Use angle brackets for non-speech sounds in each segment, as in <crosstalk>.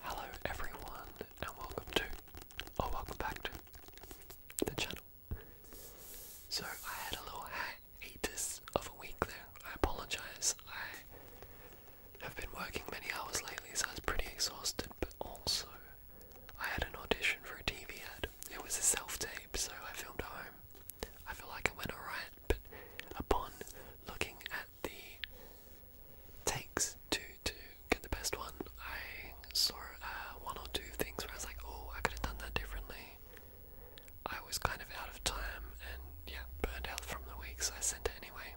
Hello everyone and welcome to or welcome back to the channel. So I had a little hiatus of a week there. I apologize. I have been working many hours lately so I was pretty exhausted but also I had an audition for a TV ad. It was a self-tape so I filmed at home. I feel like it went alright but upon looking at the takes to to get the best one. I saw uh, one or two things where I was like, oh, I could have done that differently. I was kind of out of time and yeah, burned out from the week, so I sent it anyway.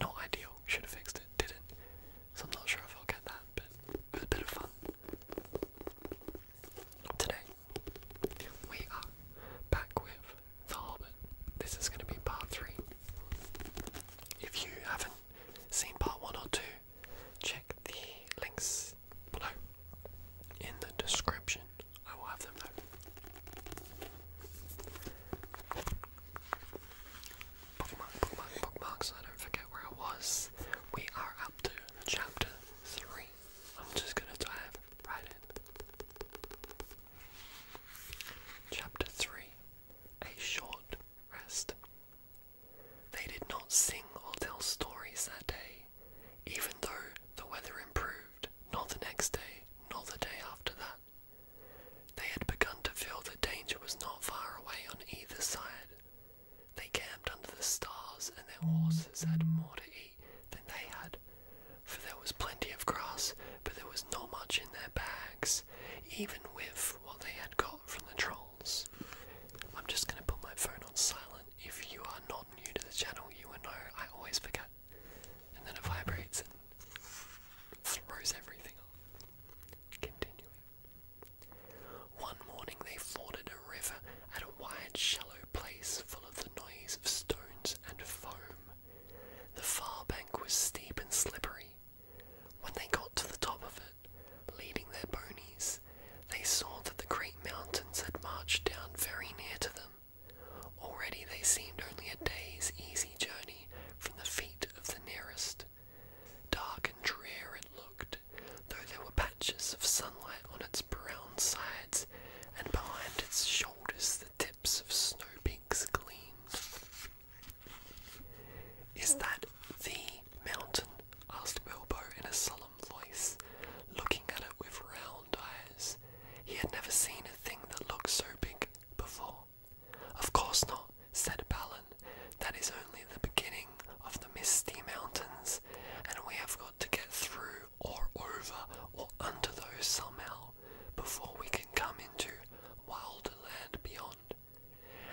Not ideal. Should have fixed it. Didn't. So I'm not sure if I'll get that, but it was a bit of fun. Today we are back with the This is going to be part 3. If you haven't seen part 1 or 2, check the links below. In the description, I will have them there. Bookmark, bookmark, bookmark, so I don't forget where I was. We are up to chapter 3. I'm just gonna dive right in. Chapter 3 A Short Rest. They did not sing or tell stories that day, even though the weather improved, not the next day, nor the day after that. They had begun to feel that danger was not far away on either side. They camped under the stars, and their horses had more to eat than they had, for there was plenty of grass, but there was not much in their bags, even with what they had got from the trolls. I'm just going to put my phone on silent. If you are not new to the channel, you will know I always forget. And then it vibrates and throws everything off. Continuing. One morning they forded a river at a wide, shallow place full of the noise of stones and foam. The far bank was steep and slippery. When they got to the top of it, leading their ponies, they saw that the great mountains had marched down very near to them. Already they seemed only a day's easy journey from the feet of the nearest. Dark and drear it looked, though there were patches of sunlight on its brown sides, and behind its shoulders the tip tips of snowpeaks gleamed. Is that the mountain? asked Bilbo in a solemn voice, looking at it with round eyes. He had never seen a thing that looked so big before. Of course not, said Balin. That is only the beginning of the misty mountains, and we have got to get through or over or under those somehow before we can come into wilder land beyond.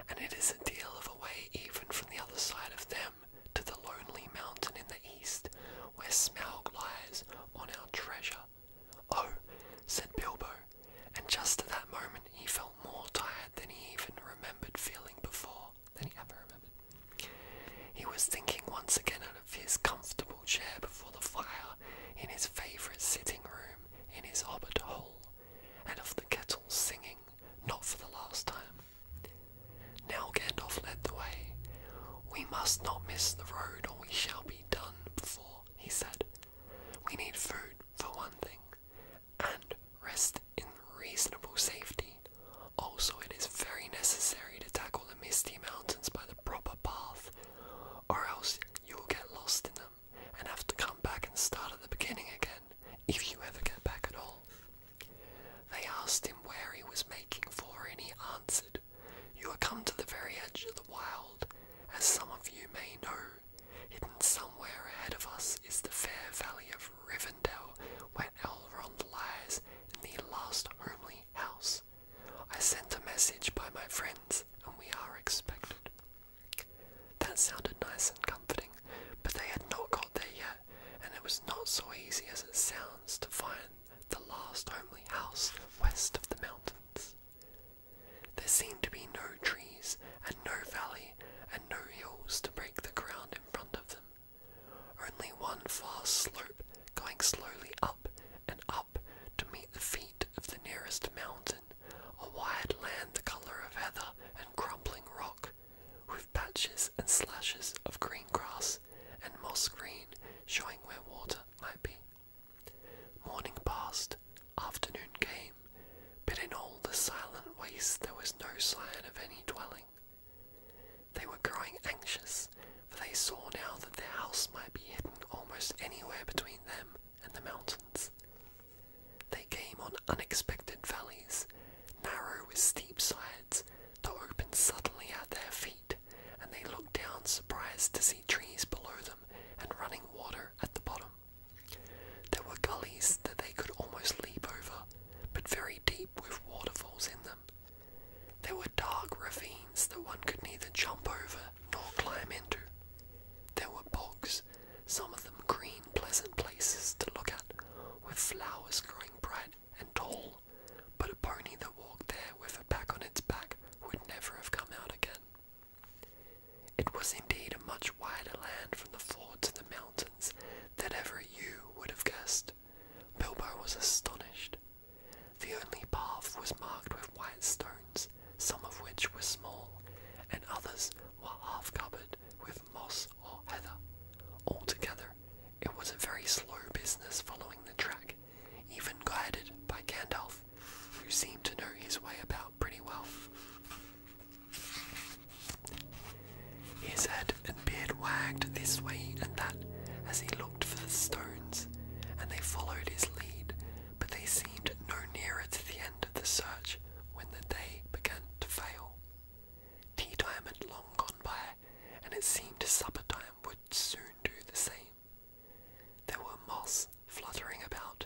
And it is a deal of a way even from the other side of them to the lonely mountain in the east, where Smaug lies on our treasure. Oh, said Bilbo, and just at that moment he felt more tired than he even remembered feeling before, than he ever remembered. He was thinking once again out of his comfortable chair before the fire in his favourite sitting room in his hobbit hole, and of the kettle singing, not for the last time. Now Gandalf led the way. We must not miss the road, or we shall be done before, he said. We need food, for one thing, and rest in reasonable safety. Also, it is very necessary to tackle the misty mountains by the proper path or else you will get lost in them and have to come back and start at the beginning again, if you ever get back at all. They asked him where he was making for, and he answered, You are come to the very edge of the wild, as some of you may know. Hidden somewhere ahead of us is the fair valley of Rivendell, where Elrond lies in the last homely house I sent a message by my friends, and we are expected. That sounded nice and comforting, but they had not got there yet, and it was not so easy as it sounds to find the last homely house west of the mountains. There seemed to be no trees, and no valley, and no hills to break the ground in front of them. Only one fast slope going slowly up and up to meet the feet of the nearest mountain, a wide land the colour of heather and crumbling rock, with patches and slashes of green grass and moss green showing where water might be. Morning passed, afternoon came, but in all the silent waste there was no sign of any dwelling. They were growing anxious for they saw now that the house might be hidden almost anywhere between them and the mountains. They came on unexpected valleys, narrow with steep sides, that opened suddenly at their feet, and they looked down surprised to see trees below them and running water at the bottom. There were gullies that they could almost leap over, but very deep with waterfalls in them, there were dark ravines that one could neither jump over nor climb into. There were bogs, some of them green, pleasant places to look at, with flowers growing bright and tall, but a pony that walked there with a pack on its back would never have come out again. It was indeed a much wider land from the ford to the mountains than ever you would have guessed. Bilbo was astonished. The only path was marked with white stones, some of which were small, and others were half covered with moss or heather. Altogether, it was a very slow business following the track, even guided by Gandalf, who seemed to know his way about pretty well. His head and beard wagged this way and that as he looked for the stones, and they followed his lead, but they seemed no nearer to the end of the search when the day began to fail. Tea time had long gone by, and it seemed supper time would soon do the same. There were moths fluttering about,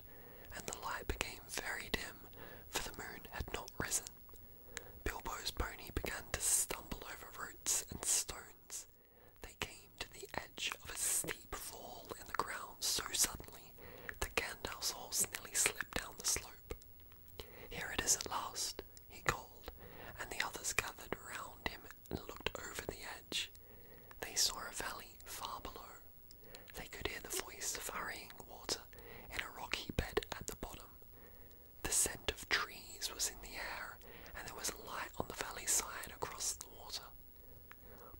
and the light became very dim, for the moon had not risen. Bilbo's pony began to stumble over roots and stones, they came to the edge of a steep fall in the ground so suddenly that Gandalf's horse nearly slipped down the slope. Here it is at last, he called, and the others gathered round him and looked over the edge. They saw a valley far below. They could hear the voice of hurrying water in a rocky bed at the bottom. The scent of trees was in the air and there was a light on the valley side across the water.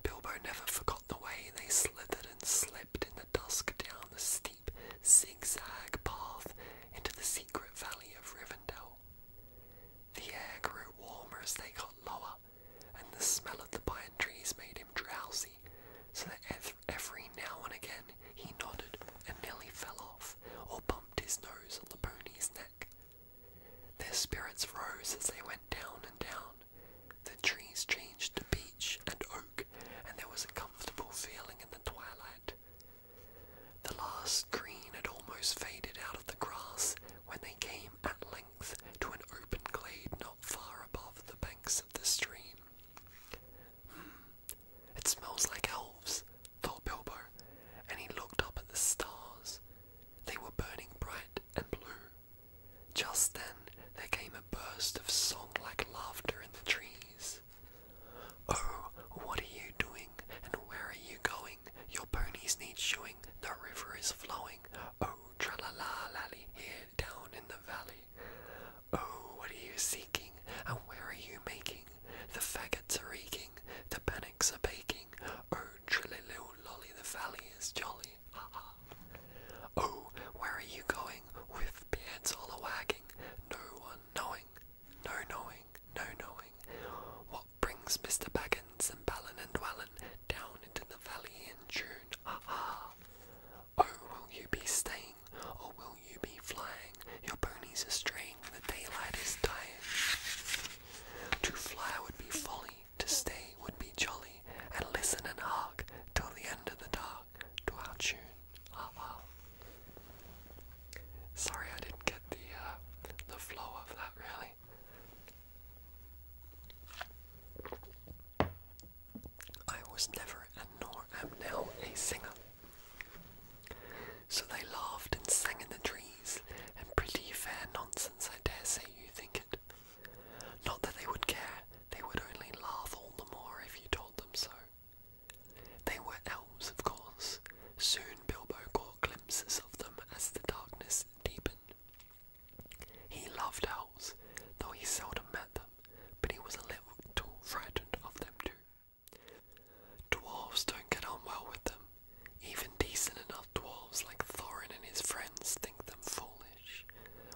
Bilbo never forgot the way they slithered and slipped in the dusk down the steep zigzag path into the secret valley of Rivendell. The air grew warmer as they got lower, and the smell of the pine trees made him drowsy, so that every now and again he nodded and nearly fell off or bumped his nose on the pony's neck. Their spirits rose as they went down and down. The trees changed to beech and oak, and there was a comfortable feeling in the twilight. The last green had almost faded out of the grass when they came at length to an open glade not far above the banks of the stream. Hmm, it smells like elves, thought Bilbo, and he looked up at the stars. They were burning bright and blue. Just then there came a burst of song like laughter in the trees. Oh, what are you doing, and where are you going? Your ponies need shoeing, the river is flowing. Oh, tra la la lally, here down in the valley. Oh, what are you seeking, and where are you making? The faggots are eking, the bannocks are baking. Oh, trilly little lolly, the valley is jolly. Ha ha. Oh, where are you going? With pants all a wagging, no one knowing, no knowing, no knowing. What brings Mr. Baggins and Ballin and Dwellin down into the valley in June? Ha ha. Oh, will you be staying, or will you be flying? Your ponies astray the daylight is dying. To fly would be folly, to stay would be jolly, and listen and hark till the end of the dark to our tune. Ah, ah. Sorry, I didn't get the uh, the flow of that really. I was never and nor am now a singer. So they laughed and sang in the trees, and pretty fair nonsense, I dare say you think it. Not that they would care, they would only laugh all the more if you told them so. They were elves, of course. Soon Bilbo caught glimpses of them as the darkness deepened. He loved elves, though he seldom met them, but he was a little frightened of them too. Dwarves don't get on well with them. Even decent enough dwarves like Thorin and his friends think them foolish,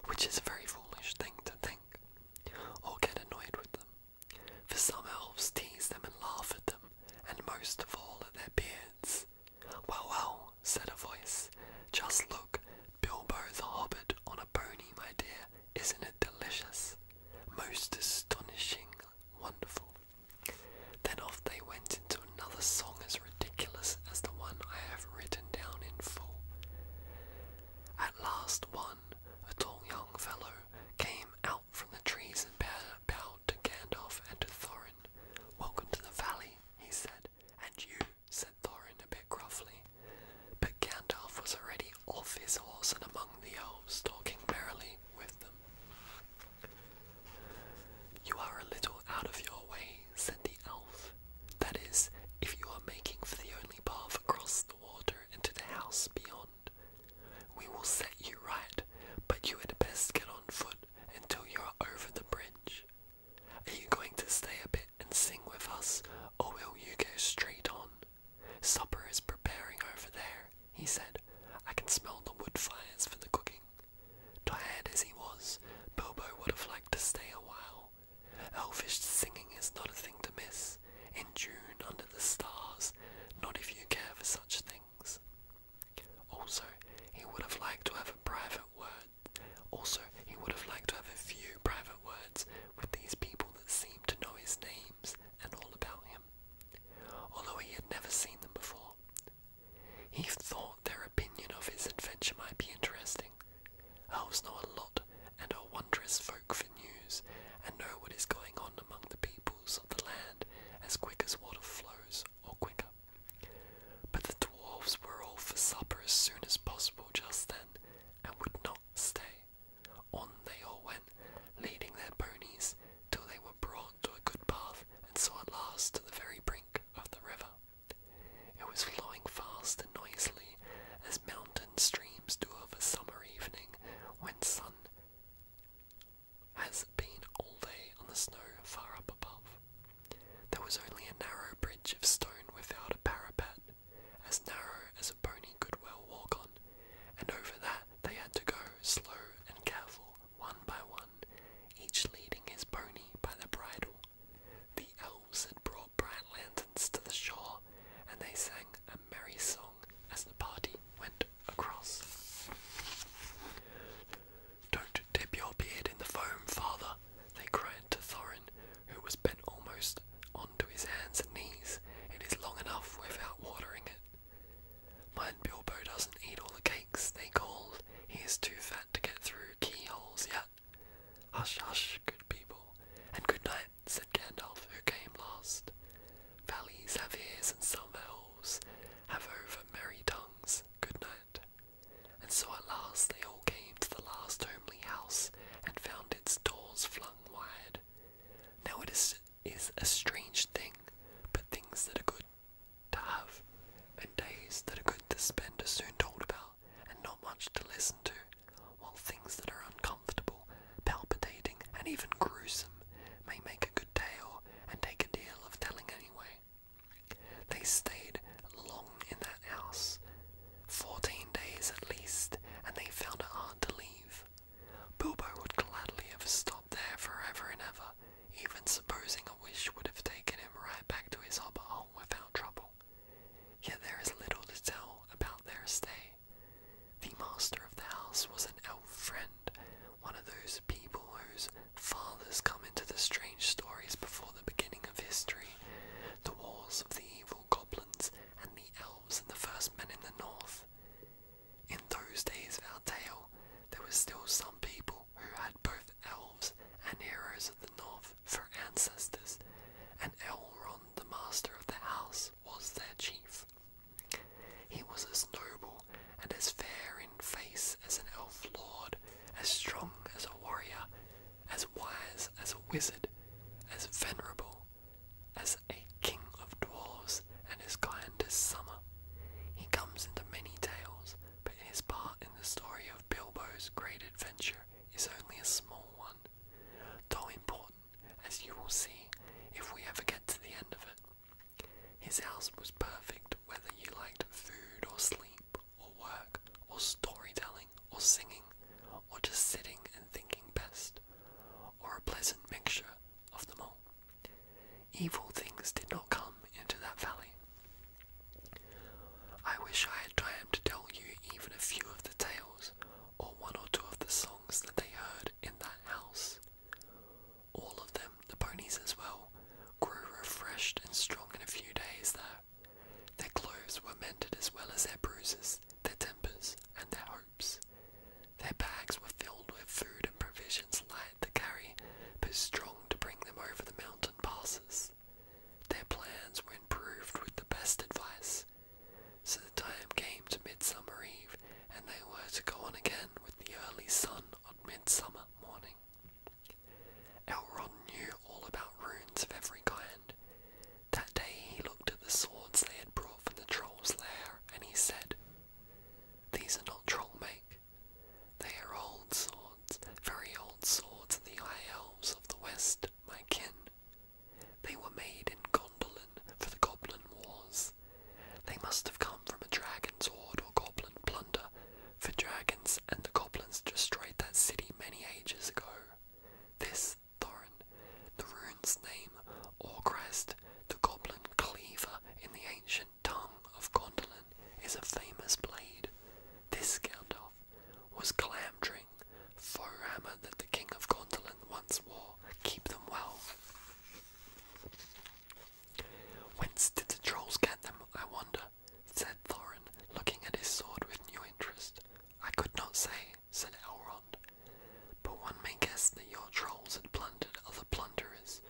which is a very foolish thing to think, or get annoyed with them. For some elves tease them and laugh at them, and most of all at their beards. Well, well, said a voice, just look, Bilbo the Hobbit on a pony, my dear, isn't it delicious? Most astonishing, wonderful then off they went into another song as ridiculous as the one I have written down in full. At last, one, a tall young fellow, came out from the trees and bowed to Gandalf and to Thorin. Welcome to the valley, he said. And you, said Thorin a bit gruffly. But Gandalf was already off his horse and among the elves, talking merrily with them. You are a little out of your way, said the elf. That is, if you are making for the only path across the water into the house beyond. We will set you right, but you had best get on foot until you are over the bridge. Are you going to stay a bit and sing with us, or will you go straight on? Supper is preparing over there, he said, I can smell the wood fires for the cooking. Tired as he was, Bilbo would have liked to stay a while. Elfish singing is not a thing to miss, in June under the stars, not if you care for such things. Also, he would have liked to have a private word. Also, he would have liked to have a few private words with these people that seemed to know his names and all about him, although he had never seen them before. He thought their opinion of his adventure might be interesting. Elves know a lot and are wondrous folk for news, and know what is going on among the peoples of the land as quick as water flows, or quicker. But the dwarves were all for supper as soon as possible just then, and would not stay. On they all went, leading their ponies, till they were brought to a good path and saw at last the very brink of the river. It was flowing fast and noisily, as mountain streams do of a summer evening when sun has been all day on the snow far up above. There was only a narrow bridge of stone without a parapet, as narrow as a pony could well walk on, and over that they had to go slow and careful, one by one, each leading his pony by the bridle. The elves had brought bright lanterns to the shore, and they sang a merry song as the party went across. Don't dip your beard in the foam, father, they cried to Thorin, who was bent almost on to his hands and knees. It is long enough without watering it. Mind Bilbo doesn't eat all the cakes, they called. He is too fat to get through keyholes yet. Hush, hush, good people, and good night, said Gandalf, who came last. Valleys have ears and some elves have over merry tongues, good night. And so at last they all came to the last homely house and found its doors flung wide. Now it is, is a strange thing, but things that are good to have, and days that are good to spend are soon told about, and not much to listen to, while things that are uncomfortable, palpitating, and even gruesome may make a good tale and take a deal of telling anyway. They stayed long in that house, fourteen days at least, and they found it hard to leave. Bilbo would gladly have stopped there forever and ever even supposing a wish would have taken him right back to his hobbit home without trouble. Yet there is little to tell about their stay. The master of the house was an elf friend, one of those people whose fathers come into the strange stories before the beginning of history, the wars of the evil goblins and the elves and the first men in the north. In those days of our tale, there were still some people who had both elves and heroes of the north for ancestors, and Elrond, the master of the house, was their chief. He was as noble and as fair in face as an elf lord, as strong as a warrior, as wise as a wizard, as venerable as a king of dwarves, and his client is Summer. He comes into many tales, but his part in the story of Bilbo's great adventure is only a small one, though important, as you will see if we ever get to the end of it. His house was perfect whether you liked food or sleep or work or storytelling or singing or just sitting and thinking best, or a pleasant mixture of them all. Evil things did not come into that valley. I wish I had time to tell you even a few of the tales, or one or two of the songs that they heard in that house. All of them, the ponies as well, grew refreshed and strong in a few days there. Their clothes were mended as well as their bruises, their tempers, and their hopes. Their bags were filled with food and provisions light to carry, but strong to bring them over the mountain passes. Their plans were improved with the best advice. So the time came to Midsummer Eve, and they were to go on again with the early sun on Midsummer morning. Elrond knew all about runes of every kind. That day he looked at the swords they had brought from the troll's lair, and he said, these are not troll make. They are old swords, very old swords of the high elves of the west, my kin. They were made in Gondolin for the Goblin Wars. They must have come from a dragon's hoard or goblin plunder, for dragons and the goblins destroyed that city many ages ago. This Thorin, the rune's name, or Christ, the goblin cleaver in the ancient tongue of Gondolin is a famous blade. This Gandalf was clamdring for armor that the king of Gondolin once wore. Keep them well. Whence did the trolls get them, I wonder? said Thorin, looking at his sword with new interest. I could not say, said Elrond, but one may guess that your trolls had plundered other plunderers,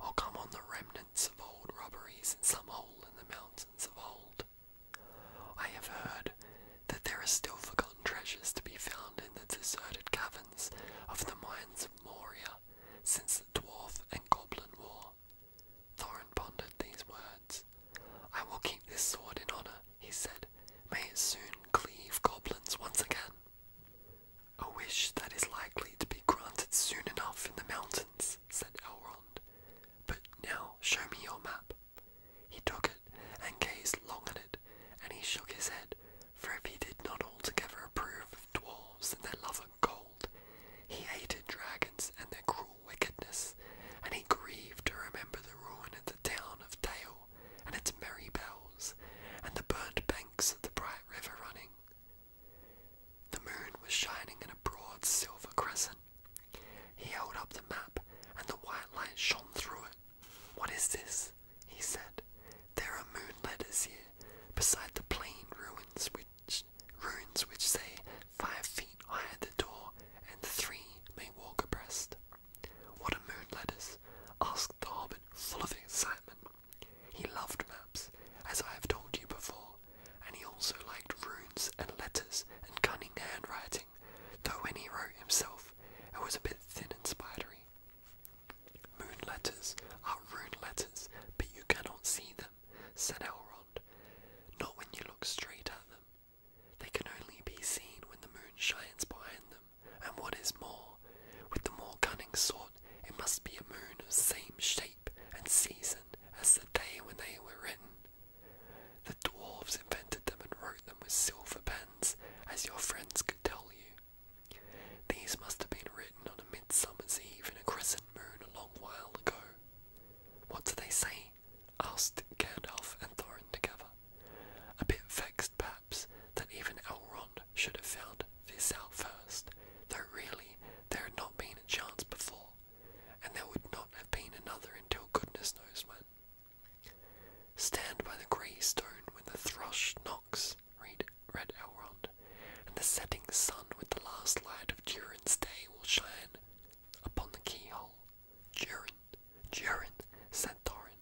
or oh, come on the remnants of old robberies in some hole in the mountains of old. I have heard that there are still forgotten treasures to be found in the deserted caverns of the mines of Moria since the Dwarf and Goblin War. Thorin pondered these words. I will keep this sword in honor, he said. May it soon cleave goblins once again. A wish that is likely to be granted soon enough in the mountains, said Elrond. But now show me your map. He took it and gazed long at it, and he shook his head, for if he did not altogether approve of dwarves and their love of gold, he hated dragons and their cruel wickedness, and he grieved to remember the ruin of the town of Dale and its merry bells, and the burnt banks of the bright river running, the moon was shining in a broad silver crescent. He held up the map, and the white light shone through it. What is this? he said. There are moon letters here, beside the plain ruins which runes which say five feet high at the door, and three may walk abreast. What are moon letters? asked the hobbit, full of excitement. He loved maps, as I have told you before, and he also liked runes and letters and cunning handwriting, though when he wrote himself, it was a bit thin and spidery. Moon letters are rune letters, but you cannot see them, said Elrond, not when you look straight at them. They can only be seen when the moon shines behind them, and what is more, with the more cunning sort, it must be a moon of same shape and season as the day when they were written. The dwarves invented them and wrote them with silver pens, as your friends could tell you. These must have been written on a midsummer's eve in a crescent moon a long while ago. What do they say? asked Gandalf and Thorin together. A bit vexed, perhaps that even Elrond should have found this out first, though really there had not been a chance before, and there would not have been another until goodness knows when. Stand by the grey stone when the thrush knocks, read, read Elrond, and the setting sun with the last light of Durin's day will shine upon the keyhole. Durin, Durin, said Thorin.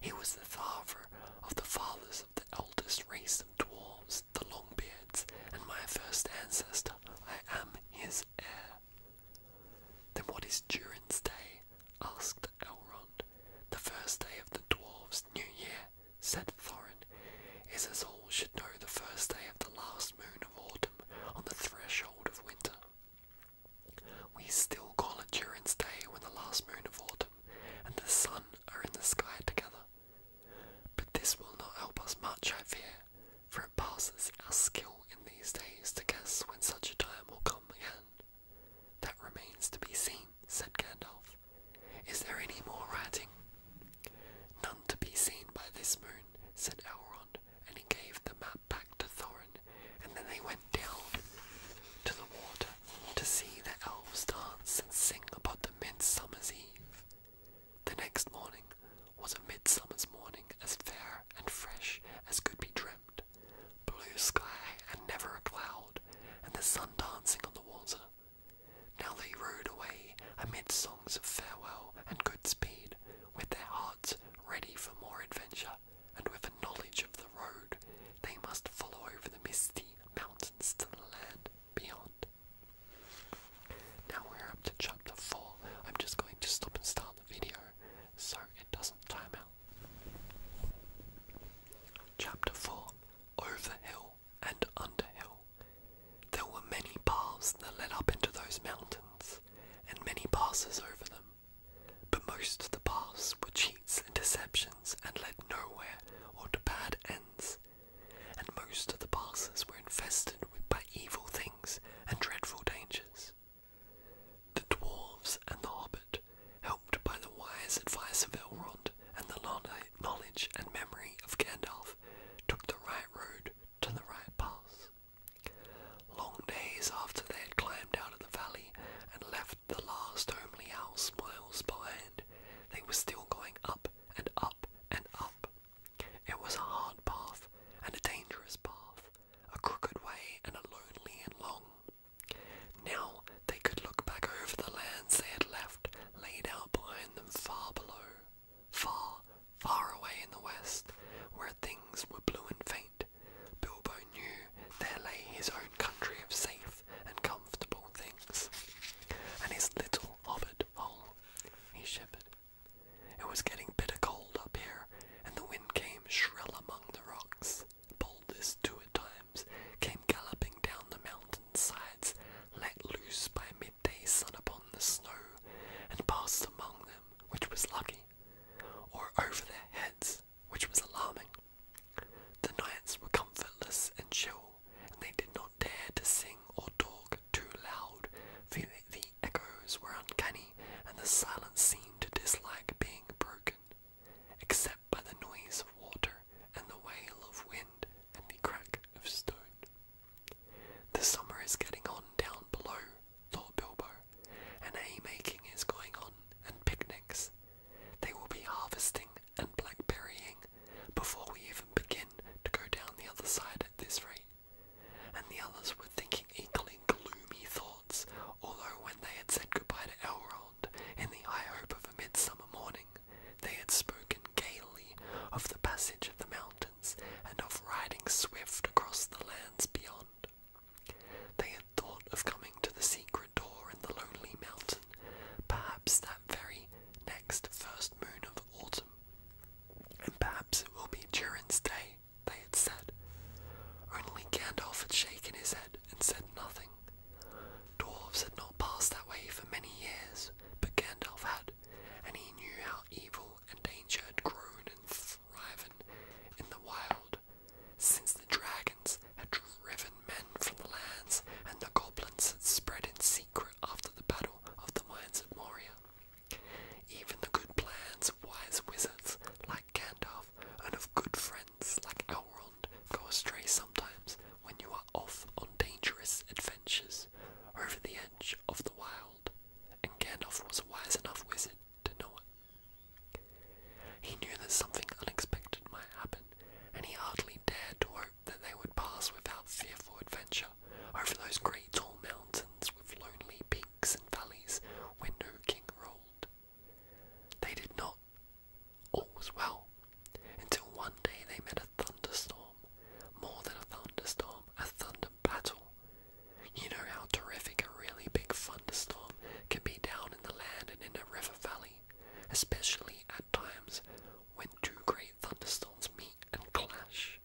He was the father of the fathers the eldest race of dwarves, the Longbeards, and my first ancestor. I am his heir. Then what is Durin's day? asked Elrond. The first day of the dwarves' new year, said Thorin, is as all should know the first day of the last moon of autumn on the threshold of winter. We still call it Durin's day when the last moon of autumn and the sun are in the sky together. But this will not help us much, I fear, for it passes our skill in these days to guess when such a time will come again. That remains to be seen, said Gandalf. Is there any more writing? None to be seen by this moon, said Elrond, and he gave the map back to Thorin, and then they went down to the water to see the elves dance and sing about the midsummer's eve. The next morning was a midsummer's morning as fair and fresh as could be dreamt, blue sky and never a cloud, and the sun dancing on the water. Now they rode away amid songs of farewell and good speed, with their hearts ready for more adventure, and with a knowledge of the road they must follow over the misty mountains to the land beyond. Now we're up to chapter 4. I'm just going to stop and start the video so it doesn't time out. Chapter 4 Over Hill and Under Hill. There were many paths that led up into those mountains, and many passes over them, but most of the paths were cheap and deceptions and led nowhere or to bad ends, and most of the passes were infested by evil things and dreadful dangers. The dwarves and the hobbit, helped by the wise advice of Elrond and the knowledge and memory of Gandalf, took the right road to the right pass. Long days after they had climbed out of the valley and left the last homely house miles behind, they were still going up and up and up. It was a hard path and a dangerous path, a crooked way and a lonely and long. Now they could look back over the lands they had left laid out behind them far below, far, far away in the west, where things were blue and faint. Bilbo knew there lay his own country of safe and comfortable things. And his little hobbit hole, he shivered. It was getting bitter cold up here, and the wind came shrill among the rocks. Boulders, two times, came galloping down the mountain sides, let loose by midday sun upon the snow, and passed among them, which was lucky, or over their heads, which was alarming. The nights were comfortless and chill, and they did not dare to sing or talk too loud, for the echoes were uncanny, and the silence seemed to dislike being broken, except by the noise of water and the wail of wind and the crack of stone. The summer is getting on down below, thought Bilbo, and haymaking is going on, and picnics, they will be harvesting and blackberrying before we even begin to go down the other side at this rate. And the others were thinking equally gloomy thoughts, although when they had said goodbye to Elrond in the high of a midsummer morning, they had spoken gaily of the passage of the mountains and of riding swift across the lands beyond. They had thought of coming to the secret door in the lonely mountain perhaps that very next first moon of autumn, and perhaps it will be Durin's day, they had said. Only Gandalf had shaken his head and said nothing. Dwarves had not passed that way for many years, but Gandalf had, and he knew how evil and danger had grown and thriven in the wild since the dragon had driven men from the lands, and the goblins had spread in secret after the battle of the mines of Moria. Even the good plans of wise wizards like Gandalf and of good friends like Elrond go astray sometimes when you are off on dangerous adventures over the edge of the wild, and Gandalf was a wise enough wizard to know it. He knew that something unexpected might happen and he hardly dared to hope that they would pass without fearful adventure over those great tall mountains with lonely peaks and valleys where no king ruled. They did not. All was well, until one day they met a thunderstorm. More than a thunderstorm, a thunder battle. You know how terrific a really big thunderstorm can be down in the land and in a river valley especially at times when two great thunderstorms meet and clash.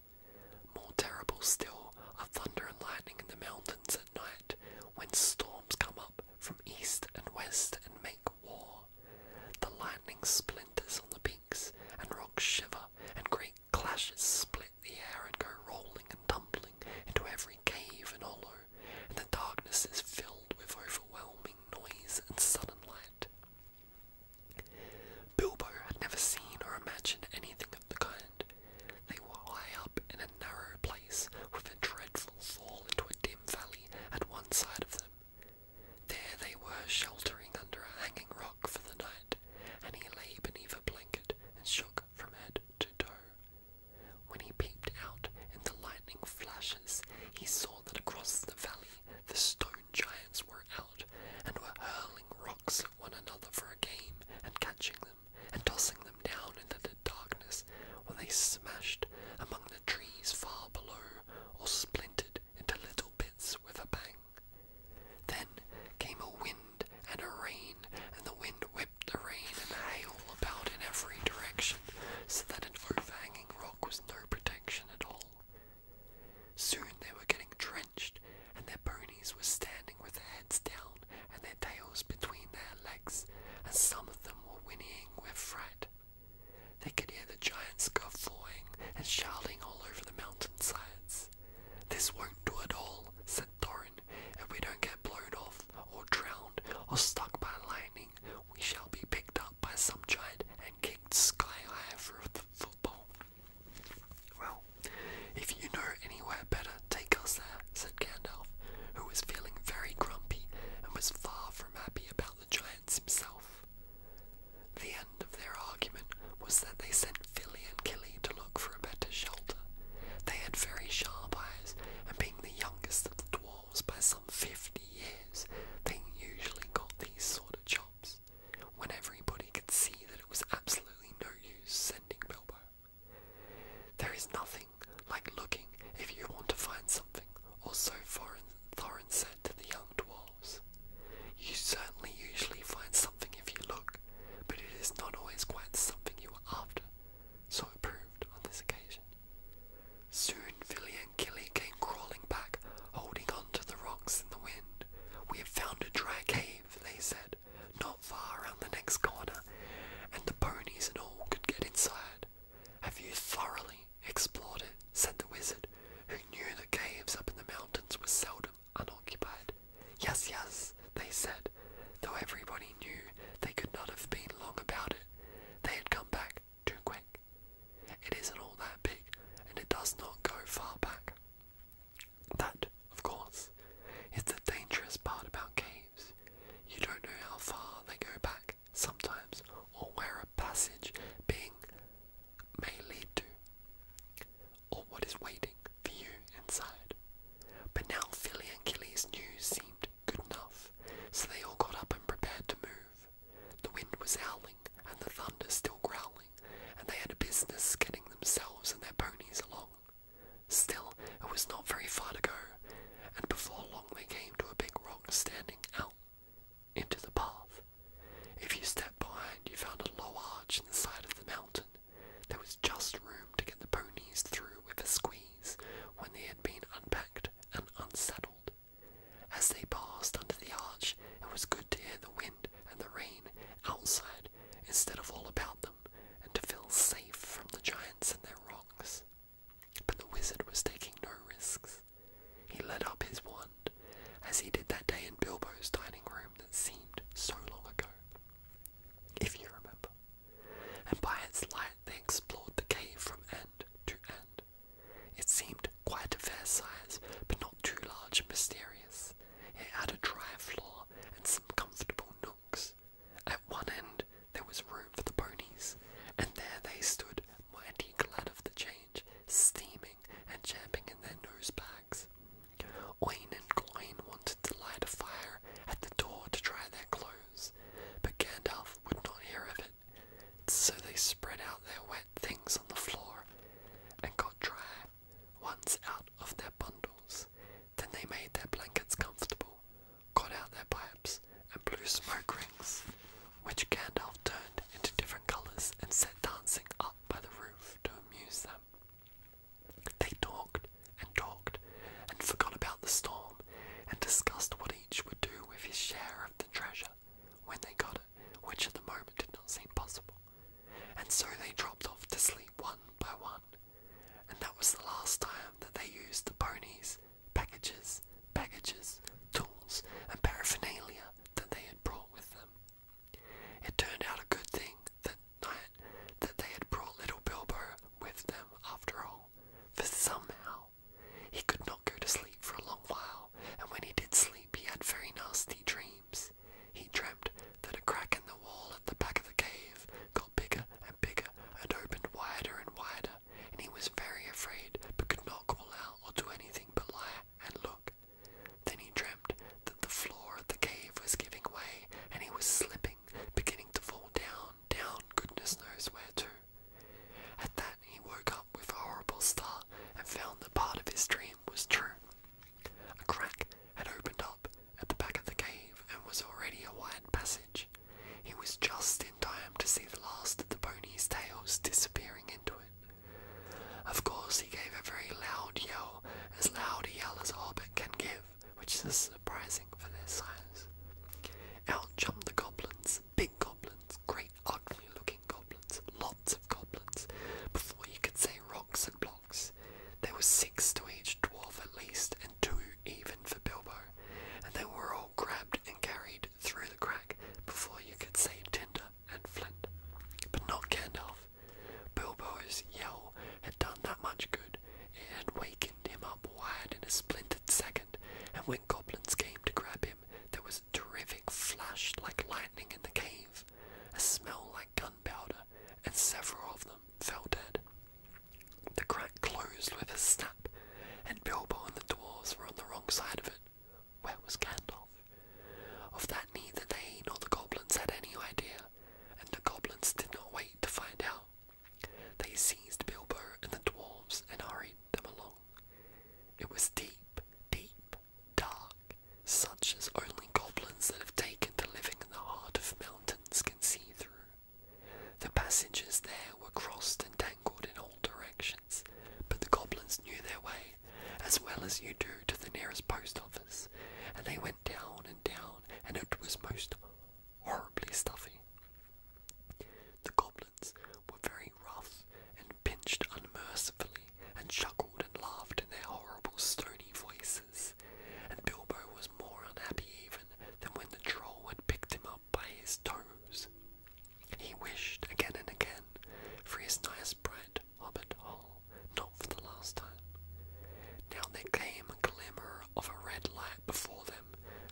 More terrible still are thunder and lightning in the mountains at night when storms come up from east and west and make war. The lightning splinters on the peaks, and rocks shiver, and great clashes split the air and go rolling and tumbling into every cave and hollow and the darkness is filled with overwhelming noise and sudden light. Bilbo had never seen or imagined anything of the kind. They were high up in a narrow place with a dreadful fall into a dim valley at one side of them. There they were sheltering under a hanging rock for the night, and he lay beneath a blanket and shook from head to toe. When he peeped out in the lightning flashes, he saw that across the valley the stone giants were out and were hurling rocks at one another for a game and catching them and tossing them down into the darkness where they smashed among the trees far below or splintered into little bits with a bang. Then came a wind and a rain, and the wind whipped the rain and hail about in every direction so that an overhanging rock was no protection at all. Soon they were getting drenched, and their ponies were standing with their heads down and their tails between their legs, and some of them were whinnying with fright. They could hear the giants guffawing and shouting all over the mountainsides. This won't do at all, said Thorin, if we don't get blown off, or drowned, or stuck by lightning we shall be picked up by some giant and kicked sky high for the football. Well, if you know anywhere better, take us there, said Gandalf, who was feeling very grumpy and was far from happy about the giants himself. The end of their argument was that they sent Philly and Killy to look for a better shelter. They had very sharp eyes, and being the youngest of the dwarves, by some 50 years, they usually got these sort of jobs, when everybody could see that it was absolutely no use sending Bilbo. There is nothing like looking if you want to find something, or so Thorin said to the young dwarves. You certainly usually find something if you look, but it is not always quite something you were after, so it proved on this occasion. Soon Philly and Killy came crawling back, holding on to the rocks in the wind. We have found a dry cave, they said, not far around the next corner, and the ponies and all could get inside. Have you thoroughly explored it? said the wizard, who knew that caves up in the mountains were seldom unoccupied. Yes, yes, they said, though everybody knew they could not have been long about it. They had come back too quick. It isn't all that big and it does not go far back. That, of course, is the dangerous part about caves. You don't know how far they go back sometimes or where a passage being may lead to or what is waiting for you inside. But now Philly and Killy's news seemed good enough, so they all got up and prepared to move. The wind was howling, and the thunder still growling, and they had a business getting themselves and their ponies along. Still, it was not very far to go, and before long they came to a big rock standing out into the path. If you stepped behind, you found a low arch in the side of the mountain. There was just room to get the ponies through with a squeeze when they had been unpacked and unsaddled. As they passed under the arch, it was good to hear the wind and the rain outside instead of all about them, and to feel safe from the giants and their rocks. But the wizard was taking no risks. He let up his wand, as he did that day in Bilbo's dining room that seemed so long ago, if you remember, and by its light they explored the cave from end to end. It seemed quite a fair size, but not too large and mysterious. It had a dry floor and some comfortable nooks. At one end there was room for the ponies, and there they stood, mighty glad of the change, steaming and champing in their nose bags. Oin and Gloin wanted to light a fire at the door to dry their clothes, but Gandalf would not hear of it so they spread out their wet things on the floor and got dry ones out of their bundles. Then they made their blankets comfortable, got out their pipes, and blew smoke rings, which Gandalf turned into different colours and set dancing up by the roof to amuse them. They talked and talked and forgot about the storm and discussed what each would do with his share of the treasure when they got it, which at the moment did not seem possible. And so they dropped off to sleep one by one, and that was the last time that they used the ponies, packages, packages, tools, and paraphernalia that they had brought with them. It turned out a good thing that night that they had brought little Bilbo with them after all, for somehow he could not go to sleep for a long while, and when he did sleep, he had very nasty dreams. He dreamt that a crack in the wall at the back of the cave got bigger and bigger and opened wider and wider, and he was very afraid but could not call out or do anything but lie and look. Then he dreamt that the floor of the cave was giving way, and he was slipping, beginning to fall down, down goodness knows where to. At that, he woke up with a horrible start and found that part of his dream was true. A crack had opened up at the back of the cave and was already a wide passage. He was just in time to see the last of the ponies' tails disappearing into it. Of course, he gave a very loud yell, as loud a yell as a hobbit can give, which is surprising for their size. Out jumped the goblins big goblins, great ugly looking goblins, lots of goblins. Before you could say rocks and blocks, there were six to each dwarf at least, and two even for Bilbo, and they were all grabbed and carried through the crack before you could say Tinder and Flint. But not Gandalf. Bilbo's yell had done that much good. It had wakened him up wide in a splintered second and when goblins came to grab him, there was a terrific flash like lightning in the cave, a smell like gunpowder, and several of them fell dead. The crack closed with a snap, and Bilbo and the dwarfs were on the wrong side of it. Where was Gandalf? Of that neither they nor the goblins had any idea, and the goblins did not wait to find out. They seized Bilbo and the dwarves and hurried them along. It was deep, deep, dark, such as only goblins that have taken to living in the heart of mountains can see through. The passages there were crossed and tangled in all directions, but the goblins knew their way, as well as you do to the nearest post office, and they went down and down, and it was most horribly stuffy. The goblins were very rough and pinched unmercifully and chuckled and laughed in their horrible stony voices, and Bilbo was more unhappy even than when the troll had picked him up by his toes. He wished again and again for his nice bright hobbit hole, not for the last time. Now there came a glimmer of a red light before them.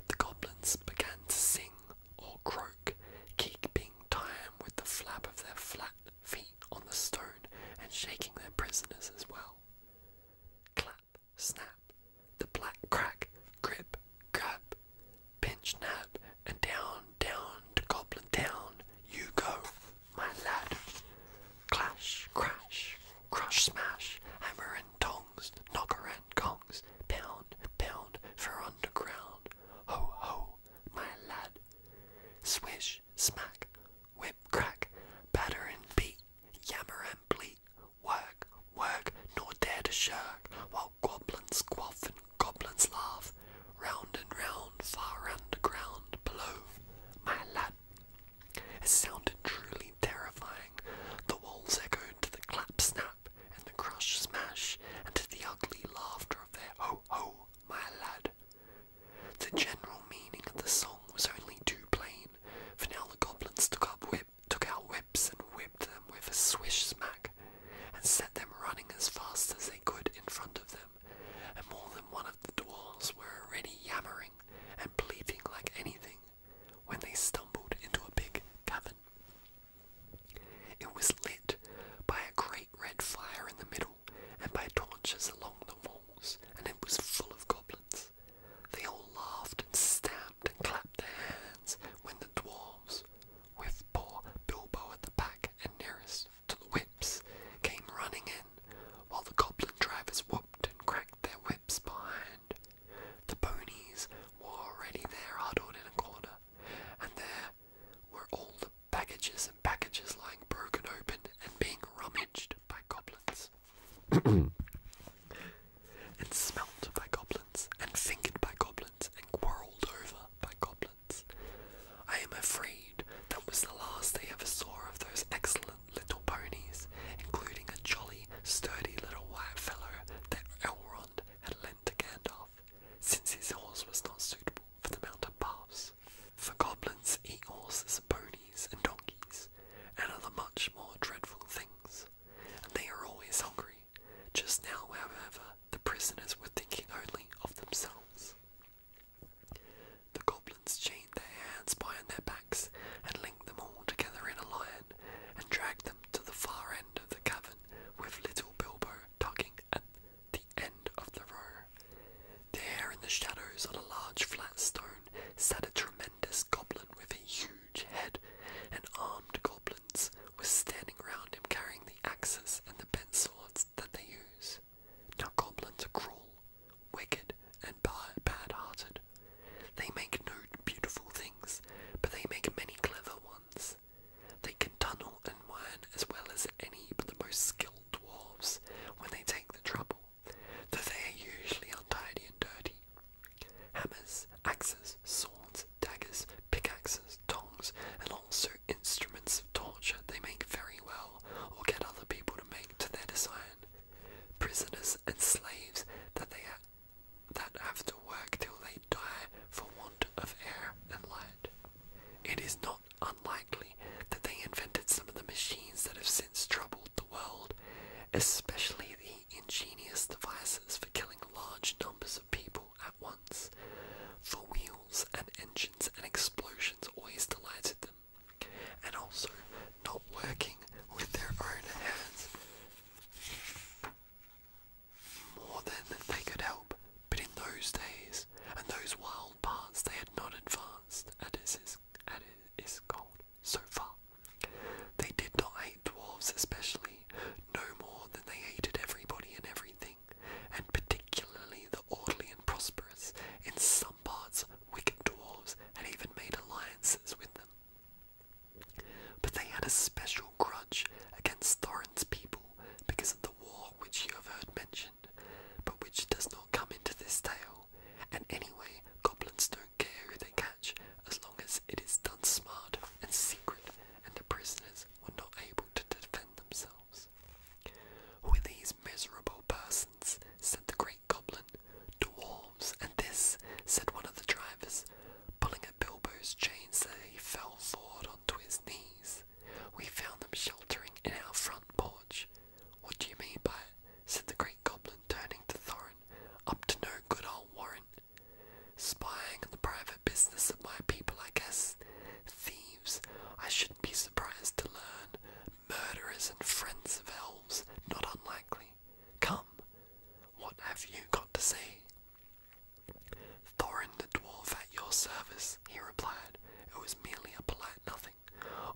The goblins began to sing or croak, keeping time with the flap of their flat feet on the stone and shaking their prisoners as well. Clap, snap, the black crack, grip, grab, pinch, nab, and down, down to Goblin Town you go, my lad. Clash, crash, crush, smash, hammer and tongs, knocker and gongs, pound, pound for underground. Ho, ho, my lad. Swish, smack, whip, crack, batter and beat, yammer and bleat. Work, work, nor dare to shirk, while goblins quaff and goblins laugh. Round and round, far underground, below, my lad. It sounded truly terrifying. The walls echoed the clap snap and the crush smash, and to the ugly laughter of their ho ho, my lad. The general meaning of the song was only too plain, for now the goblins took up whip took out whips and whipped them with a swish smack, and set them running as fast as they could in front of them, and more than one of the dwarfs were already yammering and pleading like anything when they stumbled into a big cavern. It was lit by a great red fire in the middle and by torches along the walls, and it was full of goblins. They all laughed and stamped and clapped their hands when the dwarfs, with poor Bilbo at the back and nearest to the whips, came running in, while the goblin drivers whooped and cracked their whips behind. The ponies were already there huddled in a corner, and there were all the packages and packages lying broken open and being rummaged by goblins. <clears throat> and smelt by goblins, and fingered by goblins, and quarrelled over by goblins. I am afraid that was the last they ever saw of those excellent little ponies, including a jolly, sturdy little white fellow that Elrond had lent to Gandalf, since his horse was not suitable for the mountain paths. For goblins eat horses ponies and donkeys and other much more dreadful things, and they are always hungry. Just now, however, the prisoners were thinking only of themselves. The goblins chained their hands behind their backs and linked them all together in a line and dragged them to the far end of the cavern, with little Bilbo tugging at the end of the row. There, in the shadows, on a large flat stone, sat a tremendous goblin with a huge head, and armed goblins were standing round him carrying the axes and the bent swords that they use. Now, goblins are cruel, wicked, and bad hearted. They make no beautiful things, but they make many clever ones. They can tunnel and mine as well as any but the most skilled dwarves when they take the trouble, though they are usually untidy and dirty. Hammers, axes, swords, daggers, pickaxes, tongs, and also instruments of torture they make very well or get other people to make to their design. Prisoners and slaves that they are that have to work till they die for want of air and light. It is not unlikely that they invented some of the machines that have since troubled the world, especially the ingenious devices for killing large numbers of people at once, for wheels and engines and explosions always delighted them. And also, not working with their own hands more than they could help, but in those days and those wild parts they had not advanced as is, as is gold so far. They did not hate dwarves especially, no more than they hated everybody and everything, and particularly the orderly and prosperous. In some parts, wicked dwarves had even made alliances with them. But they had a special grudge against Thorin's people because of the war which you have heard mentioned, but which does not come into this tale. And anyway, goblins don't care who they catch as long as it is done smart and secret, and the prisoners were not able to defend themselves. Who are these miserable persons? said the great goblin. Dwarves, and this, said one of the drivers, Pulling at Bilbo's chains so he fell forward onto his knees, we found them sheltering in our front porch. What do you mean by it? said the great goblin, turning to Thorin. Up to no good, old Warren. Spying on the private business of my people, I guess. Thieves, I shouldn't be surprised to learn. Murderers and friends of elves, not unlikely. Come, what have you got to say? Thorin the dwarf at your service, he replied. It was merely a polite nothing.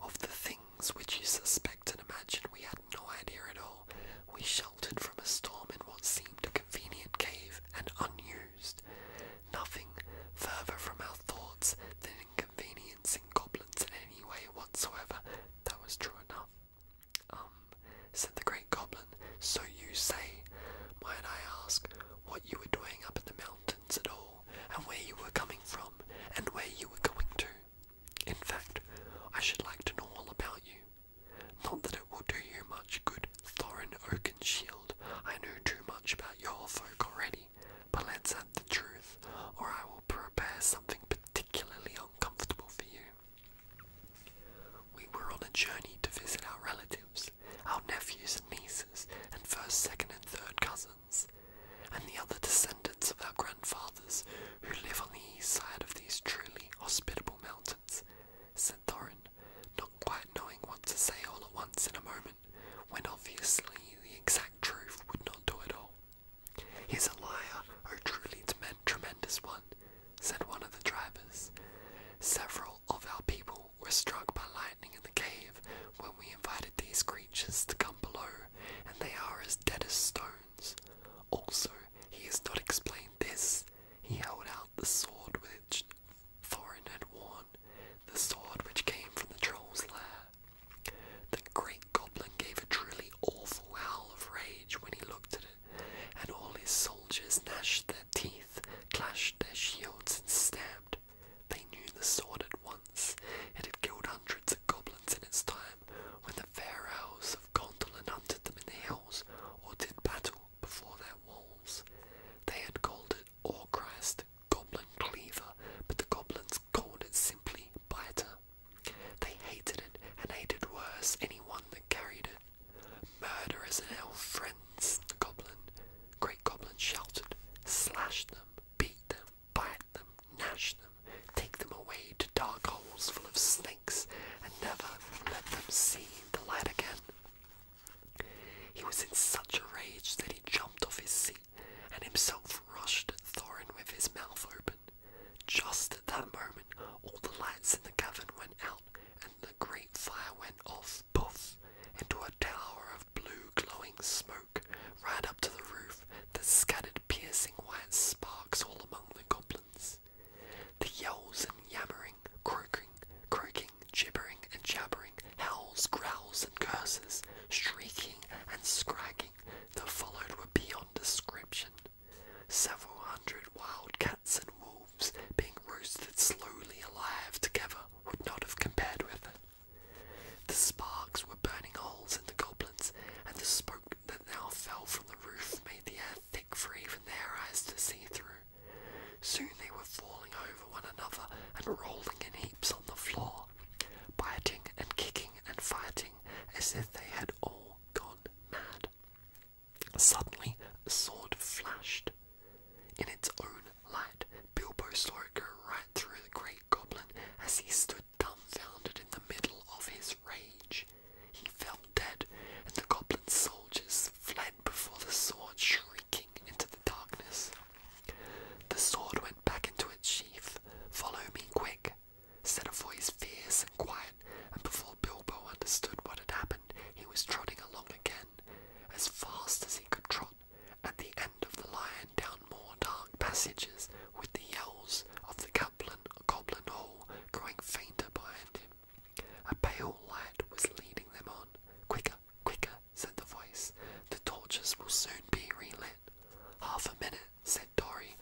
Of the things which you suspect and imagine, we had no idea at all. We sheltered from a storm in what seemed a convenient cave and unused. Nothing further from our thoughts than inconveniencing goblins in any way whatsoever. That was true enough. Um, said the great goblin, so you say. Might I ask what you were doing up in the mountains at all, and where you were coming from, and where you were going to? In fact, I should like to know all about you. Not that it will do you much good, Thorin Oakenshield. I know too much about your folk already, but let's have the truth, or I will prepare something particularly uncomfortable for you. We were on a journey to visit our relatives, our nephews and nieces, and first, second, and third cousins, and the other descendants of our grandfathers who live on the east side of these truly hospitable mountains, said Thorin, not quite knowing what to say all at once in a moment, when obviously the exact truth would not do at all. He's a liar, a oh, truly tremendous one, said one of the drivers. Several of our people were struck by lightning in the cave when we invited these creatures to come below, and they are as dead as stones. Also, he has not explained this. He held out the sword which Thorin had worn, the sword which came from the troll's lair. The great goblin gave a truly awful howl of rage when he looked at it and all his soldiers gnashed their teeth, clashed their shields, and stabbed. They knew the sword at once. It had killed hundreds of goblins in its time, when the pharaohs of Gondolin hunted them in the hills, or did battle before their walls. They had called it Orchrist, Goblin Cleaver, but the goblins called it simply Biter. They hated it and hated worse anyone that carried it. Murderers and ill friends, the goblin, great goblin shouted, slash them, beat them, bite them, gnash them, take them away to dark holes full of snakes, and never let them see the light again. He was in such a rage that he jumped off his seat and himself rushed at Thorin with his mouth open. Just at that moment, all the lights in the cavern went out, and the great fire went off, puff, into a tower of blue glowing smoke, ran up to the roof, that scattered piercing white sparks all among the goblins. The yells and yammering, croaking, croaking, gibbering and jabbering, howls, growls, and curses, shrieking and scragging that followed were beyond description. Several hundred wild cats and wolves being roasted slowly alive together would not have compared with it. The sparks were burning holes in the goblins, and the smoke that now fell from the roof made the air thick for even their eyes to see through. Soon they were falling over one another and rolling in heaps on the floor, biting and kicking and fighting as if they had all gone mad. Suddenly, a sword flashed. In its own light, Bilbo saw it go right through the great goblin as he stood dumbfounded in the middle of his rage. He fell dead, and the goblin soldiers fled before the sword, shrieking into the darkness. The sword went back into its sheath. Follow me quick, Said a voice, fierce and quiet, and before Bilbo understood what had happened, he was trotting along again, as fast as he could trot, at the end of the lion down more dark passages, with the yells of the goblin, goblin hall growing fainter behind him. A pale light was leading them on. Quicker, quicker, said the voice. The torches will soon be relit. Half a minute, said Dory,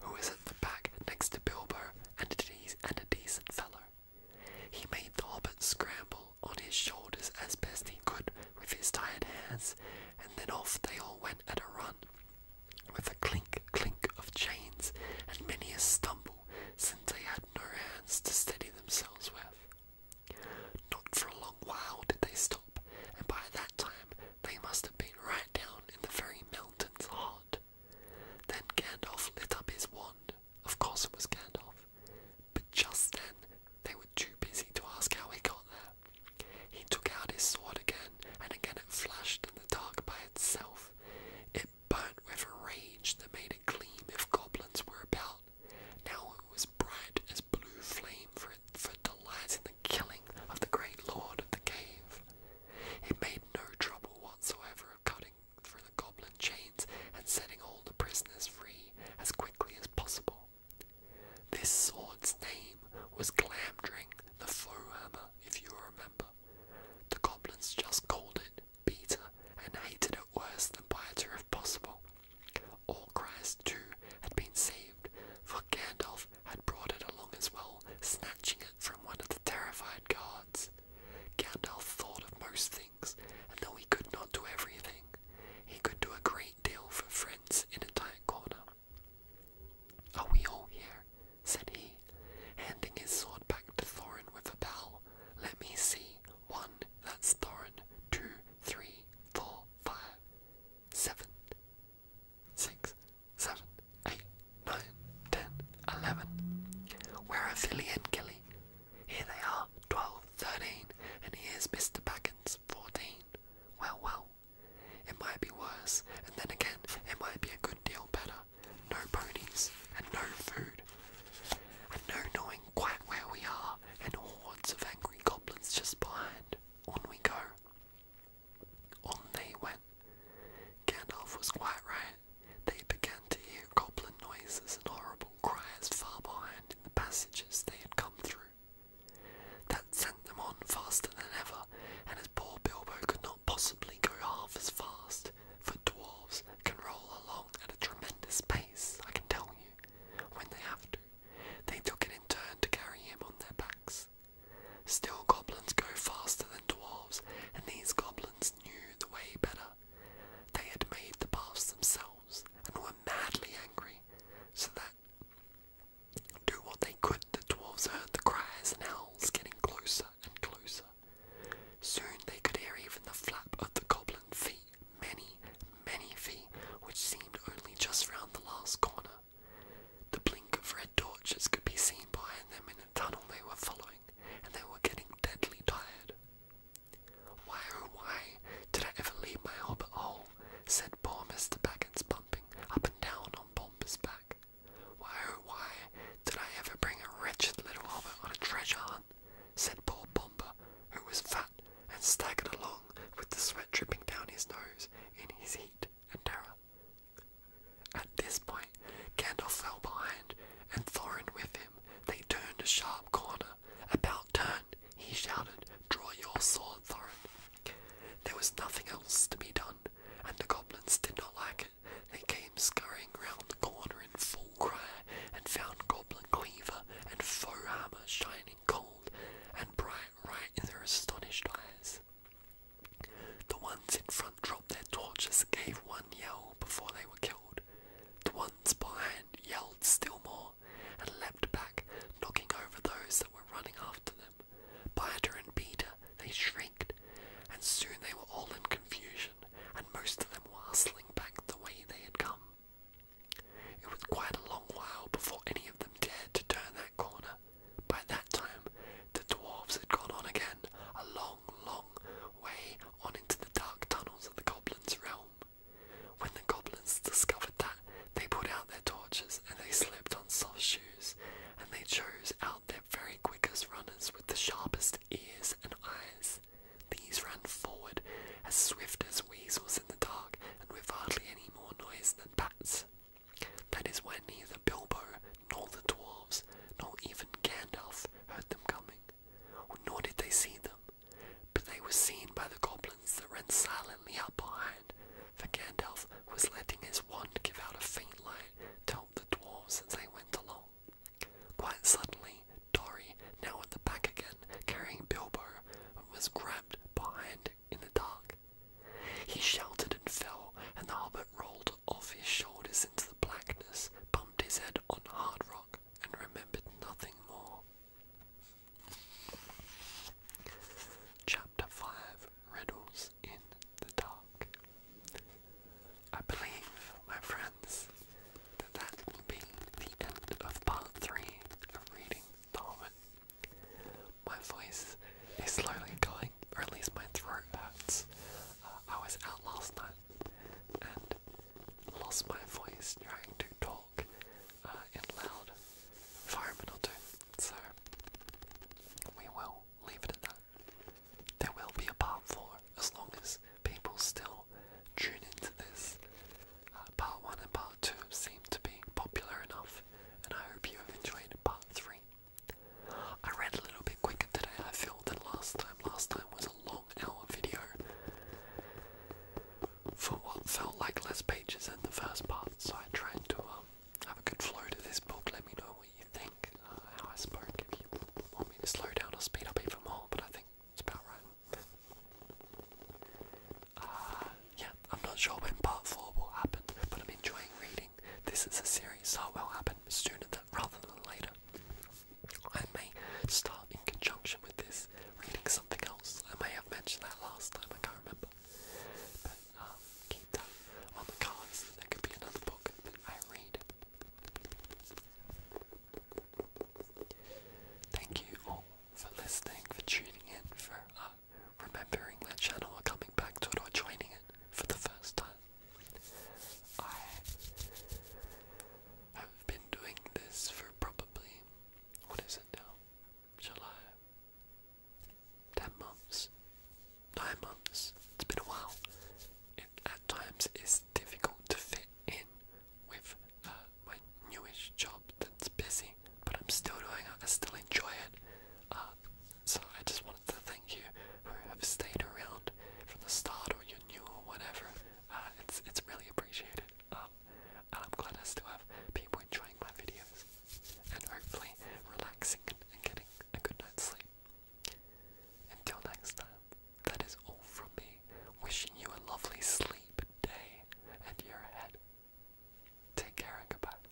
who was at the back next to Bilbo and a, and a decent fellow. He made the hobbit scramble on his shoulders as best he could with his tired hands, and then off they all went at a run, with a clink clink of chains and many a stumble, since they had no hands to steady themselves with. Not for a long while did they stop, and by that time they must have been right down in the very mountain's heart. Then Gandalf lit up his wand. Of course it was Gandalf. But just then they were too busy to ask how he got there. He took out his sword again, and again it flashed in the dark by itself. It burnt with a rage that made it gleam if goblins were about. Now it was bright as blue flame for, it, for delight in the killing of the great lord of the cave. He made no trouble whatsoever of cutting through the goblin chains and setting all the prisoners free as quickly as possible. This sword's name was Glamdring the Hammer. if you remember. The goblins just called it Peter and hated it worse than Biter if possible. All Christ, too, had been saved, for Gandalf had brought it along as well, snatching it from one of the terrified guards. Gandalf thought of most things, and though he could not do everything, he could do a great deal for friends in a tight corner. Are we all here? said he, handing his sword back to Thorin with a bow. Let me see. One, that's Thorin. Two, three, four, five, seven six, seven, eight, nine, ten, eleven. Where are Philly and Killy? Here they are, twelve, thirteen, and here's Mr. Baggins, fourteen. Well, well, it might be worse, and then again, it might be a good deal better. No ponies, and no food, and no knowing quite where we are, and hordes of angry goblins just behind. On we go. On they went. Gandalf was quite right. They began to hear goblin noises and horrible cries far behind in the passages they had come through. That sent them on faster than ever, and as poor Bilbo could not possibly go half as fast, for dwarves can roll along at a tremendous pace, I can tell you, when they have to. They took it in turn to carry him on their backs. Still, goblins go faster than dwarves, and these goblins knew the way better. They had made the paths themselves and were madly angry, so that do what they could, the dwarves heard the cries and howls getting closer and closer. Soon they could hear even the flap of the goblin feet, many, many feet, which seemed only just round the last corner. The blink of red torches could be seen behind them in a tunnel they were following, and they were getting deadly tired. Why oh why did I ever leave my hobbit hole? said poor Mr. Baggins, bumping up and down on Bomber's back. Why oh why did I ever bring a wretched little hobbit on a treasure hunt? said poor Bomber, who was fat and staggered along with the sweat dripping down his nose in his heat and terror. At this point, Gandalf fell behind, and Thorin with him. They turned a sharp corner. About turned, he shouted, Draw your sword, Thorin. There was nothing else to be done, and the goblins did not like it. They came scurrying round the corner in full cry, and found goblin cleaver and foe armour shining cold and bright right in their astonished eyes. The ones in front dropped their torches gave one yell before they were killed. The ones behind yelled still more and leapt back, knocking over those that were running after them. Biter and Peter, they shrieked, and soon they were all in confusion, and most of them were hustling back the way they had come. It was quite a long while before any of them dared to turn that corner, by that time, the dwarfs had gone on again, a long, long way on into the dark tunnels of the goblins' realm. When the goblins discovered that, they put out their torches and they slipped on soft shoes, and they chose out their very quickest runners with the sharpest ears and eyes. These ran forward as swift as weasels in the dark and with hardly any more noise than bats. That is why neither Bilbo nor the dwarves, nor even Gandalf, heard them coming, nor did they see them, but they were seen by the goblins that ran silently up behind, for Gandalf was letting his wand give out a faint light to help the dwarves as they went along. Quite suddenly, Dory, now at the back again, carrying Bilbo, was grabbed behind in the dark. He shouted and fell, and the hobbit rolled off his shoulders into the blackness, pumped his head on hard rock, and remembered nothing more. Chapter 5 Riddles in the Dark. I believe, my friends, that that will be the end of part 3 of reading the My voice is slowly going or at least my throat hurts. Uh, I was out last night and lost my voice trying to talk uh, in loud environmental or So we will leave it at that. There will be a part four as long as people still tune into this. Uh, part one and part two seem to be popular enough, and I hope you have enjoyed part three. I ran a little bit quicker today, I feel, that last time. Last time was a long hour video for what felt like less pages in the first part, so I tried to um, have a good flow to this book. Let me know what you think, uh, how I spoke. If you want me to slow down or speed up even more, but I think it's about right. Uh, yeah, I'm not sure when part 4 will happen, but I'm enjoying reading this is a series that will happen sooner than, rather than later. I may start in conjunction with this reading something else. I may have mentioned that last time, I can't remember. But um, keep that on the cards, there could be another book that I read. Thank you all for listening, for tuning in, for uh, remembering that channel or coming back to it or joining it for the first time. I have been doing this for probably, what is it now? July? 10 months? 9 months? It's been a while. at times it's difficult to fit in with uh, my newish job that's busy, but I'm still doing it, I still enjoy it. Uh, so I just wanted thank you who have stayed around from the start or you're new or whatever. Uh, it's it's really appreciated. Um, I'm glad I still have people enjoying my videos and hopefully relaxing and getting a good night's sleep. Until next time, that is all from me. Wishing you a lovely sleep day and year ahead. Take care and goodbye.